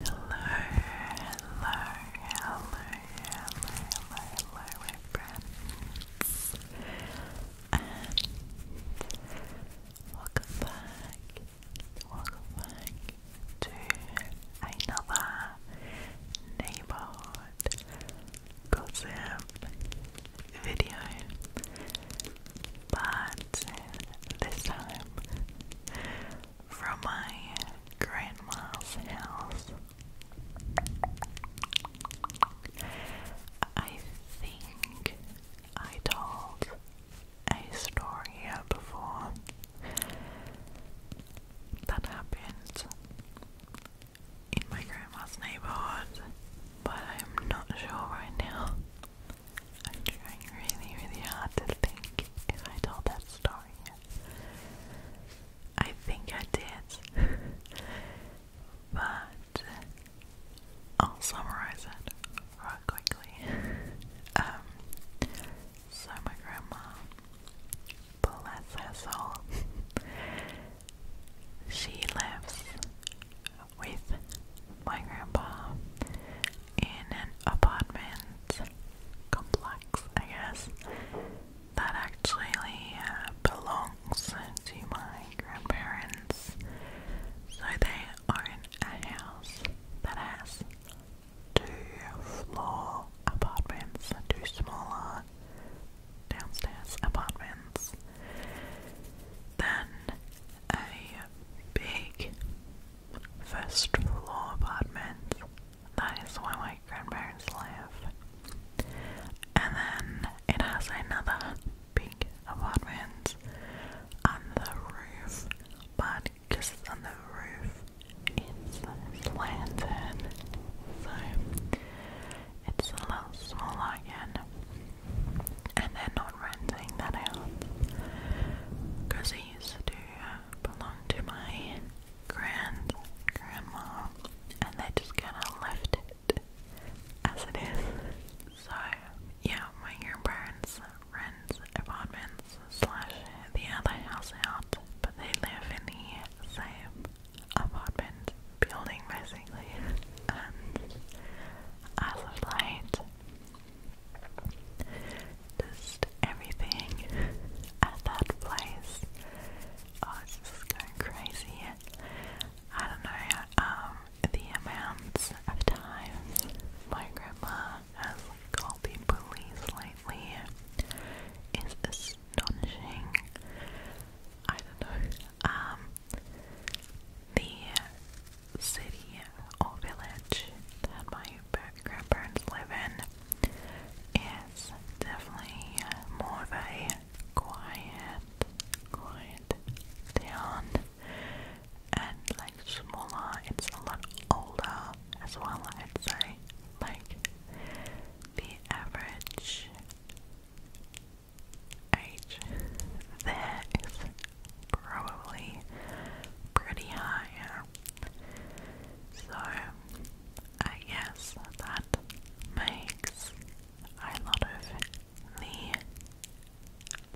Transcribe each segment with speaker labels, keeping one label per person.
Speaker 1: Hello, hello, hello, hello, hello, my friends, welcome back, welcome back to another neighborhood gossip video, but this time from my grandma's house. I think I told a story before that happened in my grandma's neighborhood, but I'm not sure right now. I'm trying really, really hard to think if I told that story I think I did. but I'll summarize it right quickly. Um, so my grandma, bless her soul, she lives with my grandpa in an apartment complex, I guess, that actually uh, belongs to my grandparents. So they own a house that has two floor apartments, two smaller downstairs apartments, then a big first floor apartment. That is where my grandparents live. And then it has another big apartment on the roof, but because on the roof, it's slanted. So it's a little smaller again. And they're not renting that out. Because they used to do belonged to my grand grandma, and they just kind of left it as it is. So, yeah, my grandparents rent apartments slash the other house out, but they live in the same apartment building basically. And as of late, just everything at that place. Oh, it's just going crazy. I don't know, um, the amounts of times my grandma has called the police lately is astonishing. I don't know. Um, the city or village that my grandparents live in is definitely more of a quiet, quiet town and like smaller, it's a lot older as well, I'd say. Like the average age there is probably pretty high. So I guess that makes a lot of the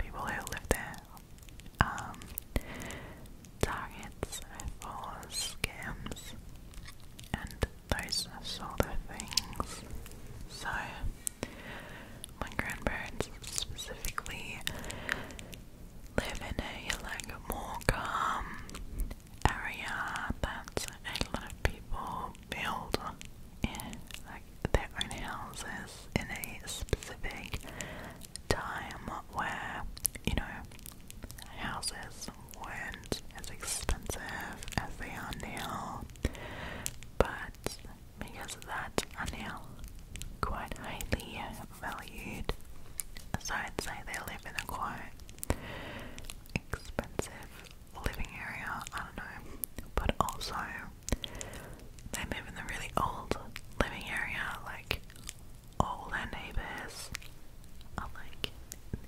Speaker 1: people who live there um, targets for scams and those sort of things. So my grandparents specifically live in a like more calm area that a lot of people build in like their own houses in a specific time where you know houses weren't as expensive as they are now but because that are now quite highly uh, valued. So I'd say they live in a quite expensive living area, I don't know. But also they live in the really old living area, like all their neighbours are like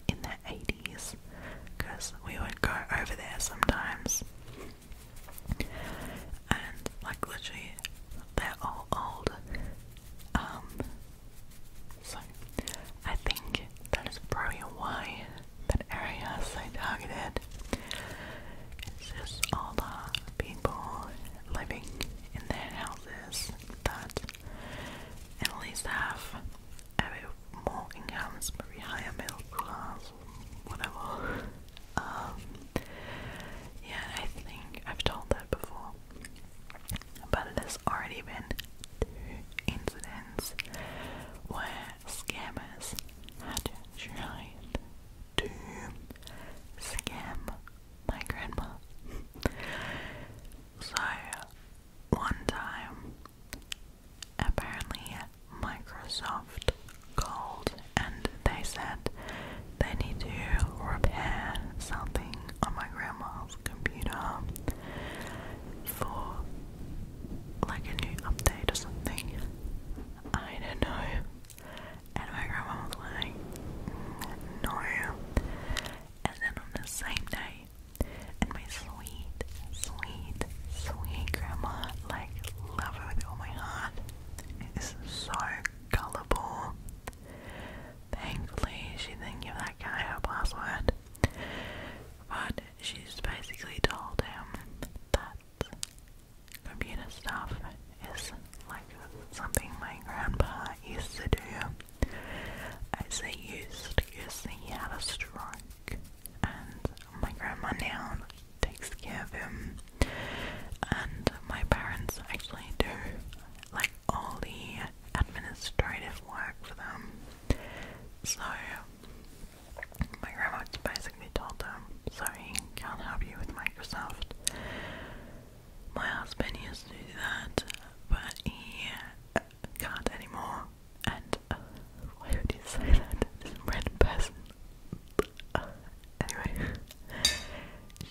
Speaker 1: in their 80s because we would go over there sometimes and like literally they're all old. Um, so I think that is probably why that area is so targeted. It's just all the people living in their houses that at least have a bit more incomes, maybe higher middle class, whatever. Um, yeah, I think I've told that before, but it has already been incidents where scammers had tried to scam my grandma. so, one time, apparently, Microsoft cold and they said they need to repair something on my grandma's computer for like a new update or something. I don't know. And my grandma was like, no. And then on the same day, and my sweet, sweet, sweet grandma, like, love her with all my heart, is so gullible. Thankfully, she didn't give that guy her password, but she's basically told him that computer stuff is like something my grandpa used to do. As they used, because he had a stroke, and my grandma now takes care of him. And my parents actually do like all the administrative work for them. So my grandma basically told them, sorry, can't help you with Microsoft. My husband used to do that, but he uh, can't anymore. And uh, why would you say that? This red person anyway,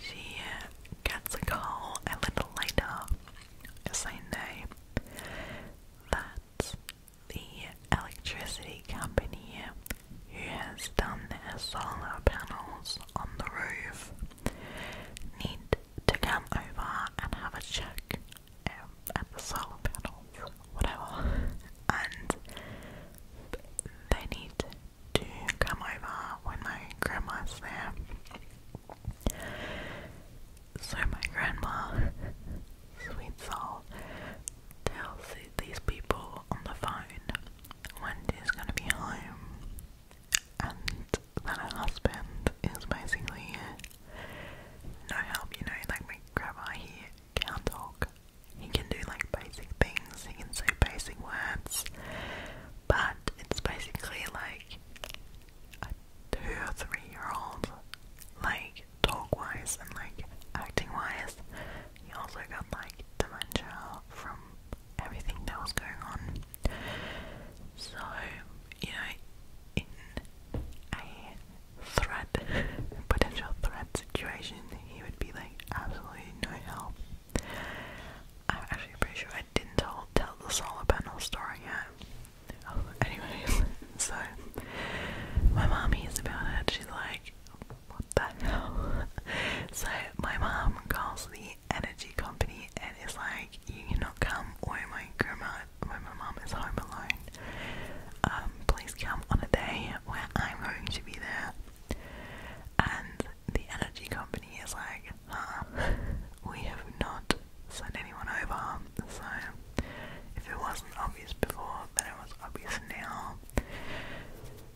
Speaker 1: she uh, gets a call a little later saying that the electricity company who has done their solar panels on the roof need to come over and have a check um, the solar panels, whatever they need to come over when my grandma's there. So my grandma, sweet soul, tells these people on the phone when gonna be home, and that her husband is basically no help, you know, like my grandma, he down dog. He can do like basic things, he can say basic words, but it's basically like a two or three year old, like talk wise and like acting wise. He also got like dementia from everything that was going on. So, you know, in a threat, potential threat situation, he would be like absolutely no help. I'm actually pretty sure I didn't tell, tell the solar panel story yet. Oh, anyways, so my mom hears about it. She's like, "What the hell?" So my mom calls the energy company and is like, "You cannot come, or my grandma, or my mom is home alone. Um, please come on a day where I'm going to be there." And the energy company is like, huh, we have not sent anyone over. So if it wasn't obvious before, then it was obvious now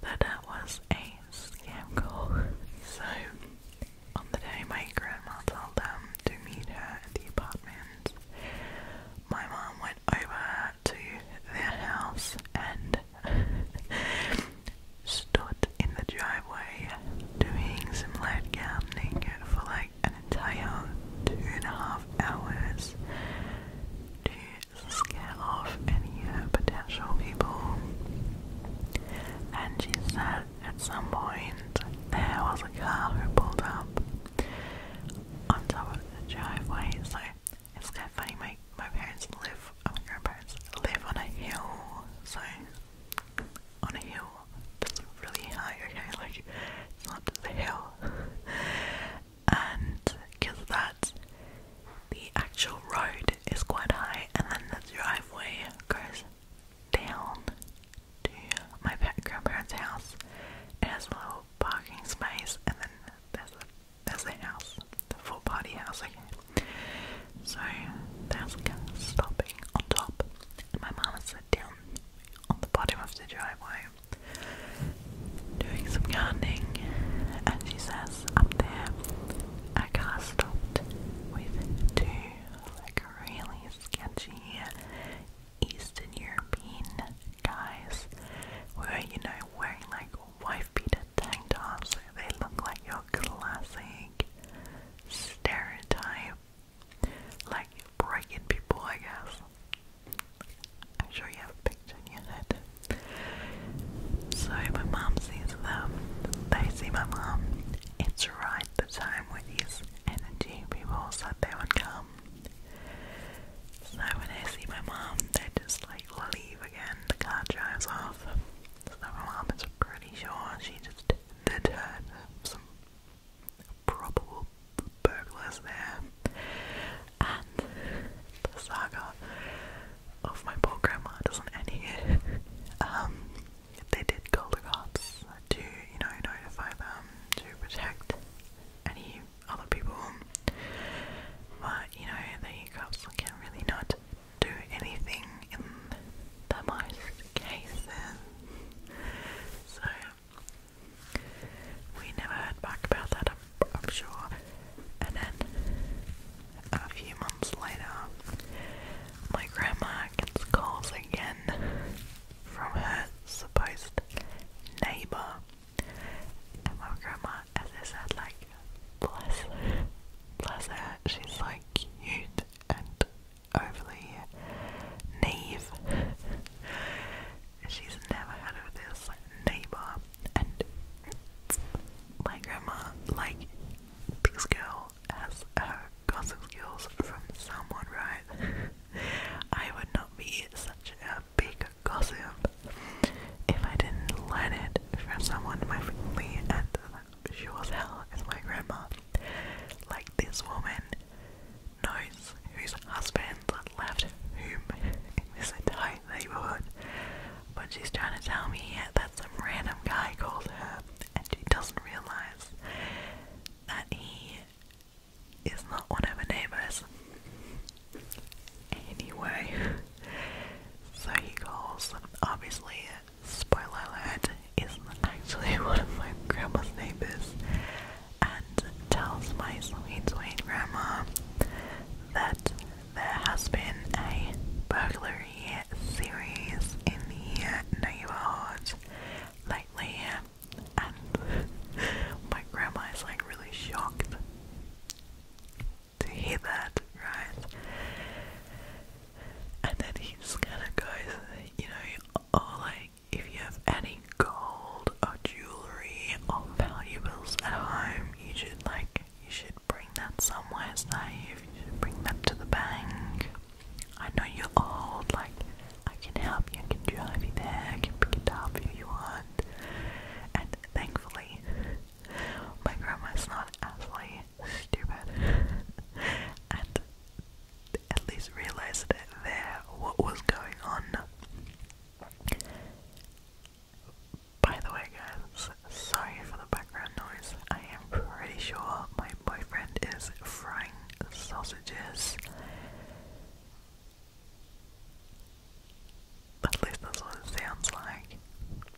Speaker 1: that that was a scam call. So on the day my grandma told them to meet her at the apartment, my mom went over to their house and stood in the driveway doing some light gardening for like an entire two and a half hours to scare off any uh, potential people. And she said at some point there was a car who pulled up on top of the driveway, so it's kind of funny, my, my parents live, oh, my grandparents live on a hill, so on a hill that's really high, okay, like it's not just hill. and because that, the actual road is quite high, and then the driveway goes down to my grandparents' house. It has a little parking space, and then there's there's a house, the full body house, So the house car stopping on top, and my mama sat down on the bottom of the driveway doing some gardening, and she says up there, our car stopped with two like really sketchy Eastern European guys who you know, wearing like wife beater tank tops. They look like your classic stereotype. Like breaking people, I guess. I'm sure you have a picture in your head. So my mom sees them, they see my mom. It's right the time with these energy people said they would come. So when I see my mom, they just like leave again. The car drives off. So my mom is pretty sure she just did her some probable burglars there. And the saga of my poor grandma doesn't end here. Um, they did call the cops to, you know, notify them to protect any other people. But you know, the hiccups can really not do anything in the most cases. So we never heard back about that, I'm sure. And then a few months later, my grandma gets calls again from her supposed neighbour and my grandma, as I said, like, bless bless her, she's like cute and overly naive. she's never had of this neighbor, and my grandma, like, this girl has her gossip skills from someone, right? I would not be such a big gossip if I didn't learn it from someone in my family and she was hell is my grandma. Like this woman knows whose husband left whom in this entire neighborhood. But she's trying to tell me that some random guy called her and she doesn't realize that he is not one of her neighbours. Anyway, so he calls. Obviously, spoiler alert, is actually one of my grandma's neighbours and tells my sweet, sweet grandma that there has been a burglary series in the neighbourhood lately and my grandma is like really shocked to hear that, right? And then he just kind of goes, you know, oh, like if you have any gold or jewelry or valuables at home, you should like you should bring that somewhere safe. You should bring that to the bank. I know you're old, like I can help you, I can drive you there, I can pick it up if you want. And thankfully, my grandma's not actually stupid and at least realized it there what was going on. By the way, guys, sorry for the background noise. I am pretty sure my boyfriend is frying sausages at least that's what it sounds like.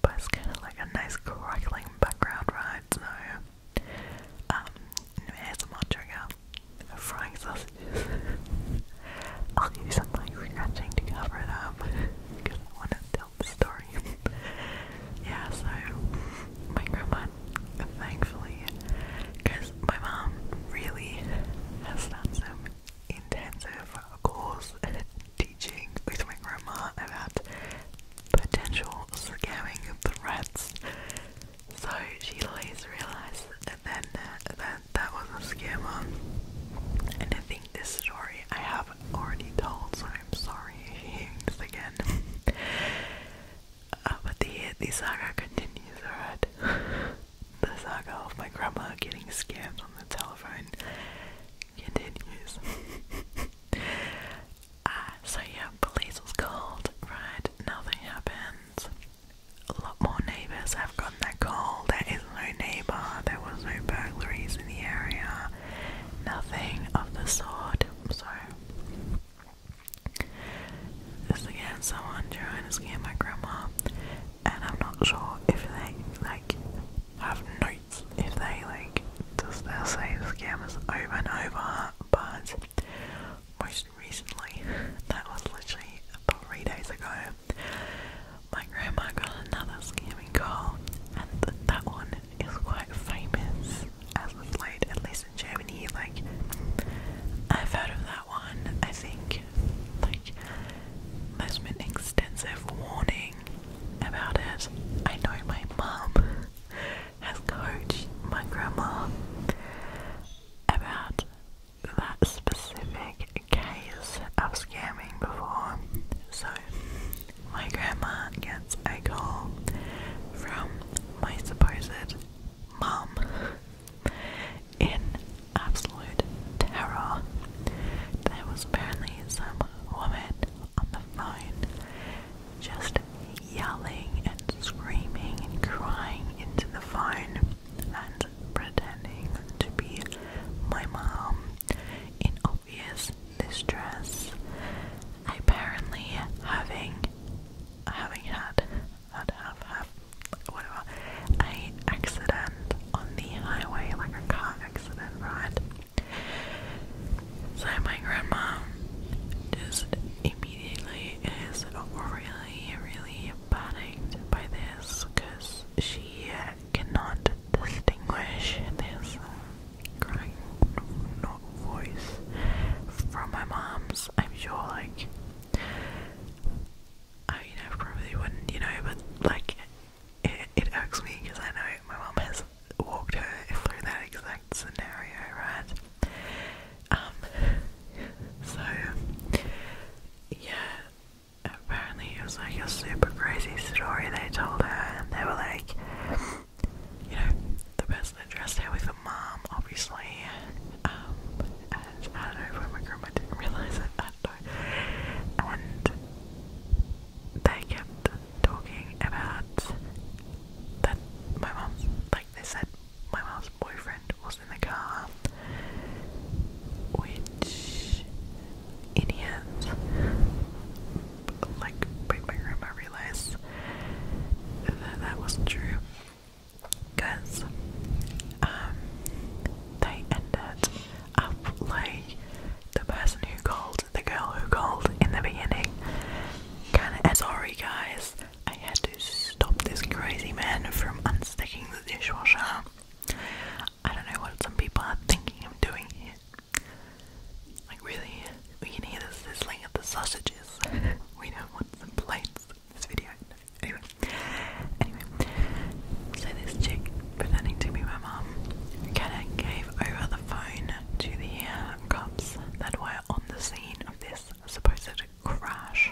Speaker 1: But it's kind of like a nice crackling background right? so. Um, here's my trigger frying sausages. I'll use some like scratching to cover it up because I want to tell the story. yeah, my grandma thankfully, because my mom really has done some intensive course teaching with my grandma about potential scamming threats. So she later realised then uh, that that was a scammer. And I think this story I have already told, so I'm sorry hearing this again. Uh, but the, the saga continues, alright? The saga of my grandma getting scammed on the telephone continues. Ah, so yeah, police was called, right? Nothing happens. A lot more neighbours have gotten that call. There is no neighbour, there was no burglaries in the area, nothing of the sort. So this again, someone trying to scam my grandma, and I'm not sure if they like have notes if they like does they say the scam over and over, but most recently, that was literally three days ago, my grandma got another scamming call, and that one is quite famous at least in Germany. Like, I've heard of that that one, I think. Like, there's been extensive warning about it. I know my mum has coached my grandma about that specific case of scamming before. So, my grandma gets a call from my supposed mum in absolute terror. There was apparently some woman on the phone just yelling and screaming and crying into the phone and pretending to be my mom in obvious distress. Apparently having having had had have have whatever a accident on the highway, like a car accident, right? So my grandma just immediately is really, really panicked by this because she cannot distinguish this crying voice from my mom's. I'm sure, like, I probably wouldn't, you know, but like it, it irks me because I know my mom has walked her through that exact scenario, right? Um, so yeah, apparently it was like a super crazy story they told her, and they were like, you know, the person that dressed her with mom, obviously. Um, I don't know if my grandma didn't realise it at all. And they kept talking about that my mom's like they said my mom's boyfriend was in the car which in like made my grandma realise that that wasn't true Cause um they ended up like the person who called, the girl who called in the beginning. Kinda sorry guys, I had to stop this crazy man from unsticking the dishwasher. I don't know what some people are thinking of doing here. Like really, we can hear this sizzling of the sausages. we don't want some plates in this video. Anyway, so this chick pretending to be my mom kinda gave over the phone to the uh, cops that were on the scene of this supposed crash,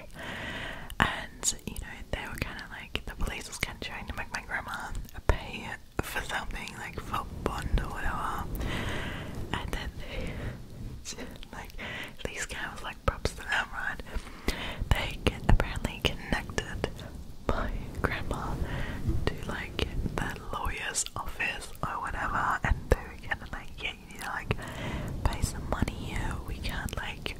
Speaker 1: and you know they were kind of like the police was kind of trying to make my grandma pay for something like for bond or whatever, and then like these guys was like props to them, right? They get apparently connected by grandma to like the lawyer's office or whatever, and they were kind of like, yeah, you need to like pay some money We can't like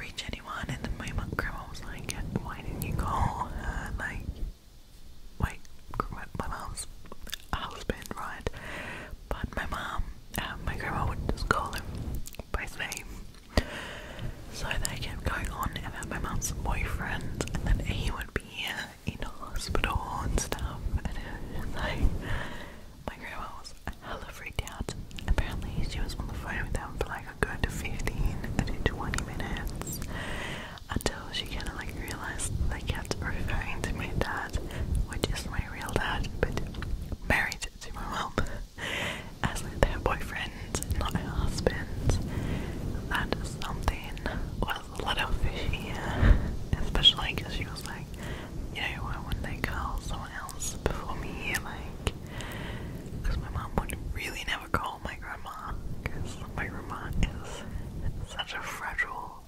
Speaker 1: reach anyone. And then my grandma was like, why didn't you call Like, wait, my mom's husband, right? But my mom um, my grandma would just call him by his name. So they kept going on about my mum's boyfriend, and then he would be in hospital and stuff. And it was like, my grandma was hella freaked out. Apparently, she was on the phone with them for like a good 15 to 20 minutes until she kind of like realized they kept referring to my dad, which is my real dad, but married to my mum as like their boyfriend, not her husband. That something was a little fishy, especially because she was like, you know, why wouldn't they call someone else before me? Like, because my mum would really never call my grandma because my grandma is such a fragile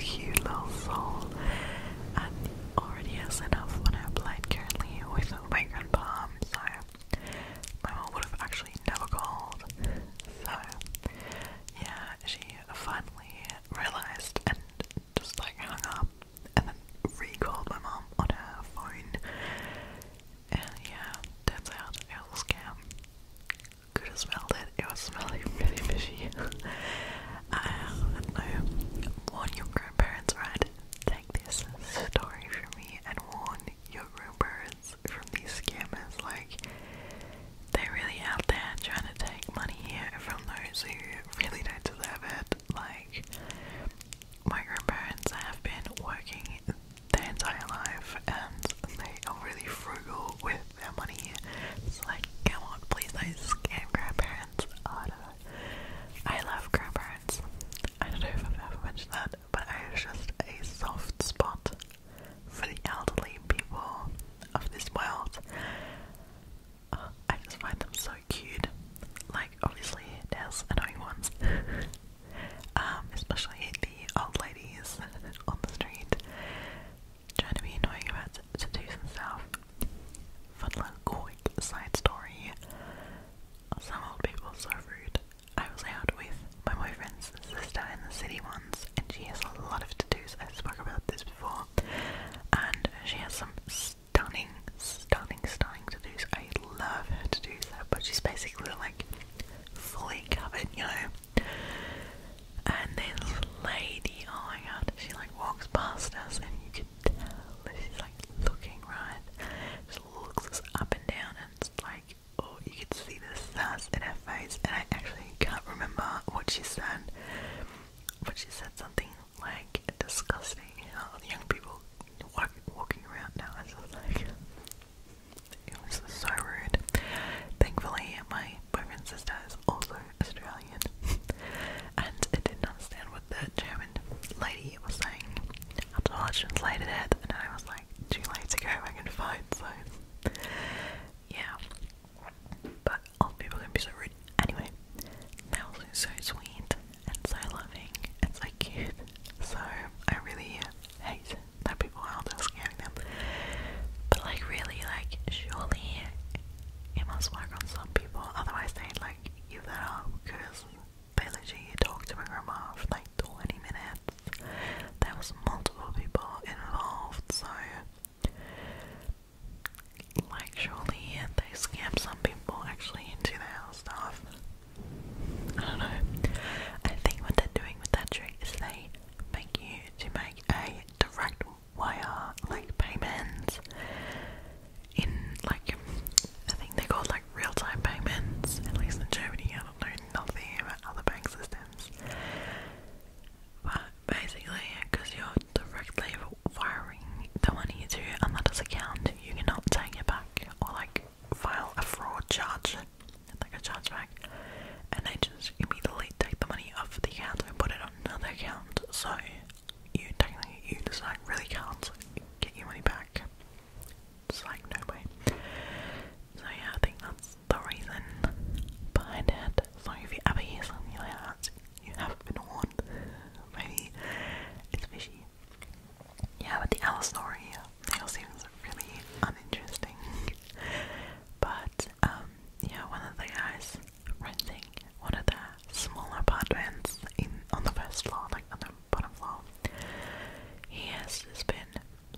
Speaker 1: you little soul. And already has enough when I applied currently with my grandpa, so my mom would have actually never called. So yeah, she finally realized and just like hung up and then re-called my mom on her phone. And yeah, turns out it was a scam. Could have smelled it was smelling really fishy. I know. Um, warn your grandparents, right? Take this story from me and warn your grandparents from these scammers. Like, they're really out there trying to take money here from those who really don't deserve it. Like, my grandparents have been working their entire life and they are really frugal with their It's like, come on, please do scam grandparents. I love grandparents. I don't know if I've ever mentioned that, but I have just a soft spot for the elderly people of this world. Uh, I just find them so cute. Like, obviously, there's annoying ones. um, especially the old ladies on the street. Trying to be annoying about Seducing stuff. Fun little quick side story. Some old people are rude. I was out with my boyfriend's sister in the city once, and she has a lot of tattoos. I spoke about this before. And she has some stunning, stunning, stunning tattoos. I love her tattoos, but she's basically like fully covered, you know? And this lady, oh my god, she like walks past us and you can tell she's like looking right. She looks up and down and it's like, oh, you could see the sass in her face. And I actually can't remember what she said, but she said something like disgusting. young people walking around now. It's just like, it was so rude. Thankfully, my boyfriend's sister is also Australian and I didn't understand what the German lady was saying after I translated it and I was like too late to go back and find so yeah but old people can be so rude anyway that was so sweet and so loving and so cute so I really hate that people are just scaring them but like really like surely it must work on some people, otherwise they'd like give that up because they literally talked to my grandma for like 20 minutes. There was multiple people involved, so like surely they scam some people actually into their stuff. I don't know. I think what they're doing with that trick is they make you to make a direct why are like payments in like I think they're called like real time payments, at least in Germany. I don't know nothing about other bank systems. But basically, because you're directly wiring the money to another's account, you cannot take it back or like file a fraud charge, like a chargeback, and they just immediately take the money off the account and put it on another account, so you technically you just like really can't get your money back. It's like no way. So yeah, I think that's the reason behind it. So if you ever hear something like that, you have been warned. Maybe it's fishy. Yeah, but the other story, the seems really uninteresting. but um, yeah, one of the guys renting one of the smaller apartments in on the first floor, like on the bottom floor. He has just been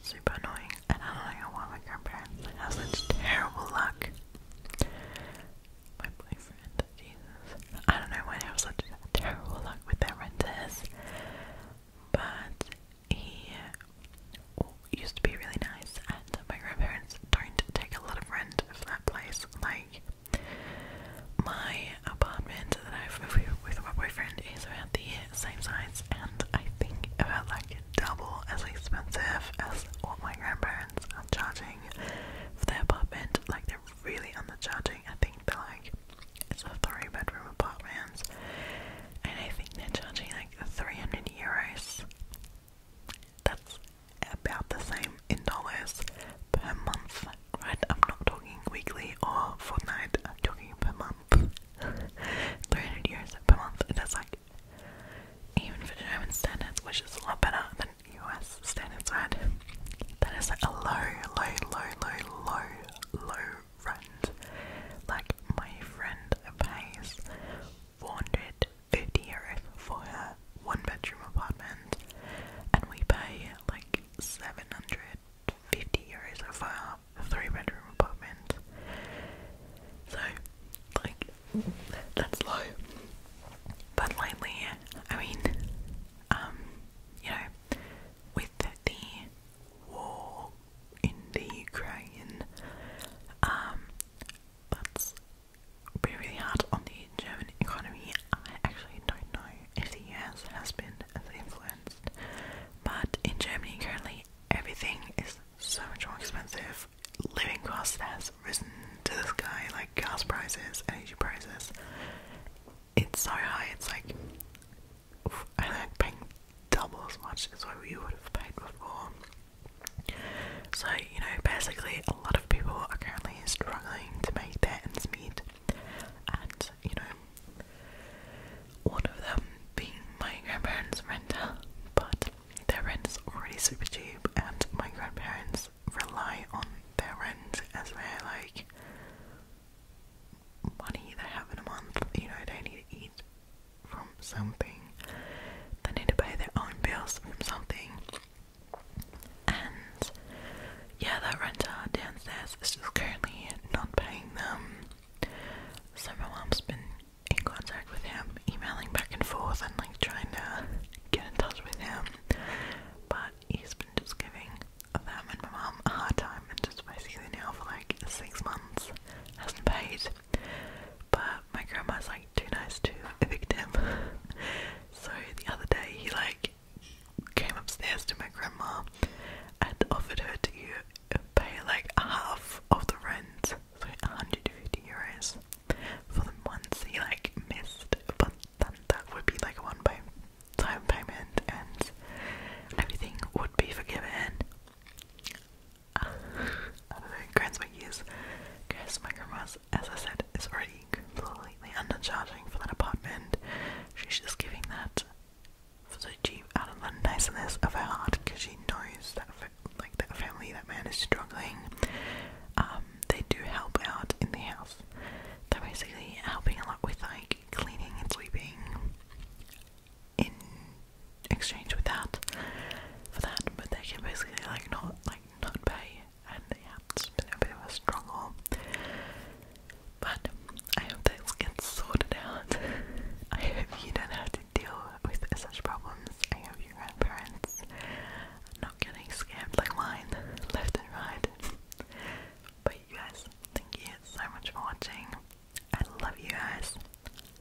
Speaker 1: super annoying, and I don't know why my grandparents have such terrible luck. My boyfriend, I don't know why they have such terrible luck with their renters, but he used to be really nice, and my grandparents don't take a lot of rent for that place. Like, my apartment that I've moved with my boyfriend is about the same size, and I think about like double as expensive as what my grandparents are charging for their apartment. Like, they're really undercharging. I think they're like, it's a three bedroom apartment, and I think they're charging like 300 euros that's about the same in dollars per month, right? I'm not talking weekly or fortnight, I'm talking per month. 300 euros per month, that's like, even for German standards, which is a lot better than US standards, right? That is like a low, low, low, low, low, low rent. Like, my friend pays 450 euro for a one bedroom apartment, and we pay like 750 euros for our three bedroom apartment. So, like, that's low. But lately, I mean, um, you know, with the war in the Ukraine, um, that's has really hard on the German economy. I actually don't know if the US has been as influenced, but in Germany currently everything is so much more expensive. Living costs has risen to the sky, like gas prices, energy prices. It's so high, it's like I like paying double as much as what we would have paid before. So, you know, basically, a lot of people are currently struggling to make their ends meet, and you know, one of them being my grandparents' rent. but their rent is already super cheap, and my grandparents rely on their rent as their like money they have in a month. You know, they need to eat from something. They need to pay their own bills from something. And yeah, that renter downstairs is just currently not paying them. So my mum's been in contact with him, emailing back and forth and like trying to get in touch with him. But he's been just giving them and my mum a hard time and just basically now for like six months hasn't paid. But my grandma's like too nice to evict him. so the other day he like came upstairs to my grandma and offered her to pay like half of the rent, so 150 euros for the month he like missed. But then that would be like a one pay time payment and everything would be forgiven. I don't know, grandma's, as I said, is already completely undercharging for that apartment. She's just giving that for the cheap out of the niceness of her heart because she knows that, like, that family, that man is struggling. Um, they do help out in the house. They're basically helping a lot with, like, cleaning and sweeping in exchange with that for that, but they can basically like not like not pay, and yeah, it's been a bit of a struggle. But I hope this get sorted out. I hope you don't have to deal with such problems. I hope your grandparents are not getting scammed like mine, left and right. But you guys, thank you so much for watching. I love you guys.